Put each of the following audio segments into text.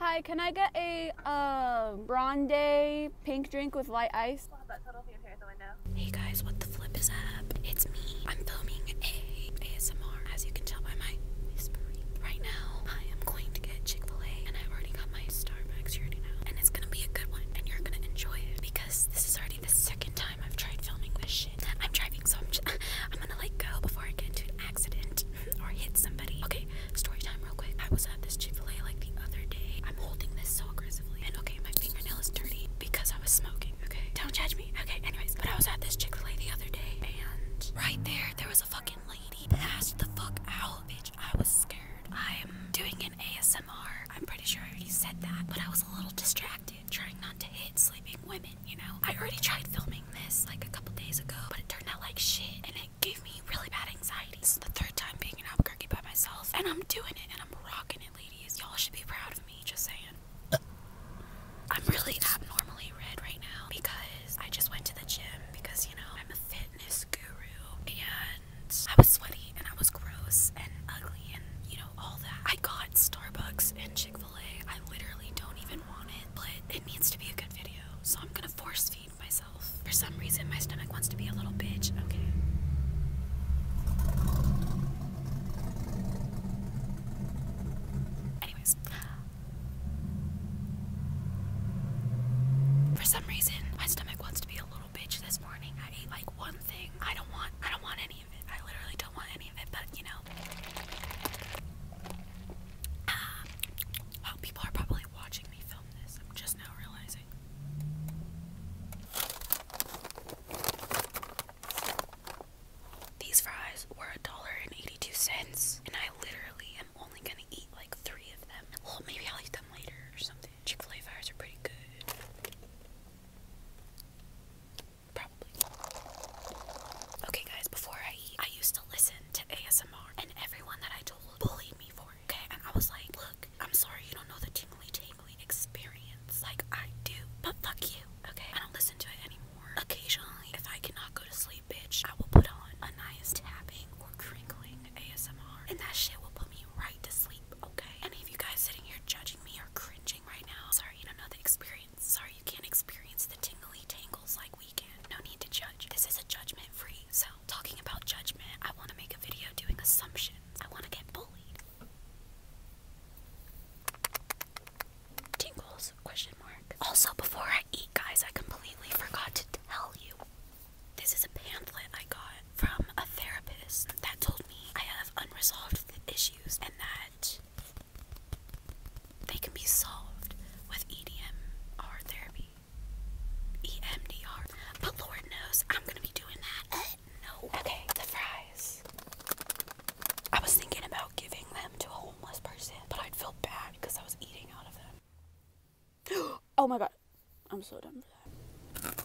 Hi, can I get a uh, grande pink drink with light ice? Hey guys, what the flip is up? It's me. I'm filming a ASMR, as you can tell by my whispering. Right now, I am going to get Chick-fil-A, and I've already got my Starbucks here now, and it's gonna be a good one, and you're gonna enjoy it, because this is already the second time I've tried filming this shit. I'm driving, so I'm, I'm gonna like go before I get into an accident or hit somebody. Okay, story time real quick. I was at this Chick-fil-A like the other day. I'm holding this so aggressively. And okay, my fingernail is dirty because I was smoking. Okay. Don't judge me. Okay, anyways. But I was at this Chick-fil-A the other day and right there there was a fucking lady passed the fuck out. Bitch, I was scared. I'm doing an ASMR. I'm pretty sure I already said that. But I was a little distracted, trying not to hit sleeping women you know? I already tried filming this like a couple days ago, but it turned out like shit and it gave me really bad anxiety. It's the third time being in Albuquerque by myself, and I'm doing it and I'm rocking it, ladies. Y'all should be proud of me, just saying. I'm really abnormally red right now because I just went to the gym because, you know, I'm a fitness guru and I was sweaty and I was gross and ugly and, you know, all that. I got Starbucks and Chick I literally don't even want it, but it needs to be a good video, so I'm gonna force feed myself. For some reason, my stomach wants to be a little bitch. Okay. Anyways. For some reason, my stomach wants to be a little bitch this morning. I ate like one thing. I don't want I don't want any I literally don't want any of it, but you know. Ah. people are probably watching me film this. I'm just now realizing. These fries were a dollar and eighty-two cents, and I literally am only gonna eat like three of them. Well, maybe I'll eat them later or something. Chick-fil-A fries are pretty good. Probably. Okay, guys, before I eat, I used to listen to ASMR, and everyone that I told bullied me for it, okay? And I was like, look, I'm sorry you don't know the tingly tingly experience like I do, but fuck you, okay? I don't listen to it anymore. Occasionally, if I cannot go to sleep, bitch, I will put on a nice tapping or crinkling ASMR, and that shit will put me right to sleep okay? Any of you guys sitting here judging me are cringing right now, sorry you don't know the experience. Sorry you can't experience the tingly tangles like we can. No need to judge. This is a judgment free. So, talking about judgment, I want to make a video doing assumptions. I want to get bullied. Tingles? Question mark. Also, before I eat, guys, I completely forgot to tell you. This is a pamphlet I got from a therapist that told me I have unresolved issues and that they can be solved with EDMR therapy. EMDR. But Lord knows I'm gonna be doing that. Uh, no. Okay, the fries. I was thinking about giving them to a homeless person, but I'd feel bad because I was eating out of them. oh my god. I'm so done for that.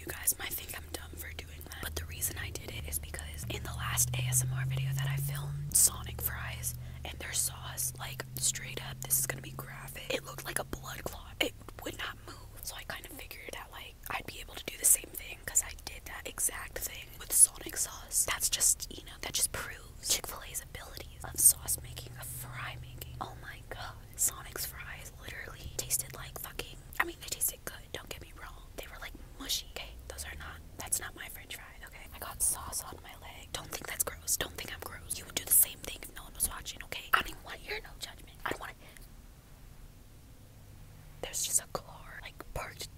You guys might think I'm dumb for doing that, but the reason I did it is because in the last ASMR video that I filmed, Sonic fries and their sauce, like straight up, this is gonna be graphic. It looked like a blood clot. It would not move. So I kind of figured that like I'd be able to do the same thing because I did that exact thing with Sonic sauce. That's just, you know, that just proves Chick-fil-A's ability varieties of sauce making, of fry making. Oh my god. Sonic's fries literally tasted like fucking. I mean, they tasted good, don't get me wrong. They were like mushy. Okay, those are not. That's not my french fry, okay? I got sauce on my leg. Don't think that's gross. Don't think I'm gross. You would do the same thing if no one was watching, okay? I don't even want your no judgment. I don't want to. There's just a car, like, parked.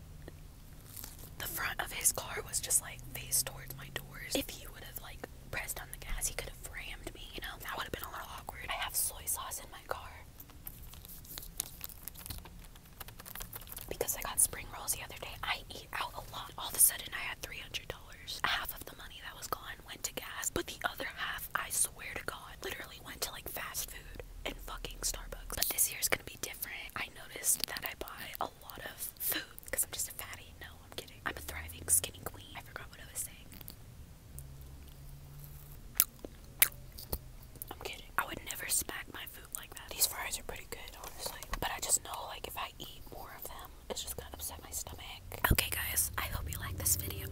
The front of his car was just like faced towards my doors. If he would have, like, pressed on the gas, he could have rammed me, you know? That would have been a little awkward. I have soy sauce in my car. Because I got spring rolls the other day, I eat out a lot. All of a sudden, I had $300. Half of the money that was gone went to gas, but the other half, I swear to God, literally went to like fast food and fucking Starbucks. But this year's gonna be different. I noticed that I buy a a lot of food because I'm just a fatty. No, I'm kidding. I'm a thriving skinny queen. I forgot what I was saying. I'm kidding. I would never smack my food like that. These fries are pretty good, honestly. But I just know, like, if I eat more of them, it's just gonna upset my stomach. Okay, guys, I hope you like this video.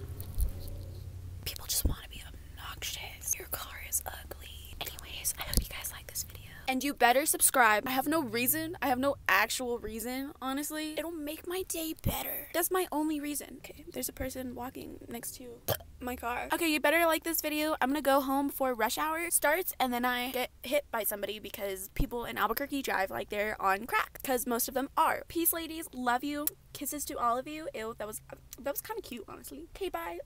People just want to be obnoxious. Your car is ugly. Anyways, I hope you guys like this and you better subscribe. I have no reason. I have no actual reason, honestly. It'll make my day better. That's my only reason. Okay, there's a person walking next to my car. Okay, you better like this video. I'm gonna go home before rush hour starts and then I get hit by somebody because people in Albuquerque drive like they're on crack because most of them are. Peace, ladies. Love you. Kisses to all of you. Ew, that was, that was kind of cute, honestly. Okay, bye.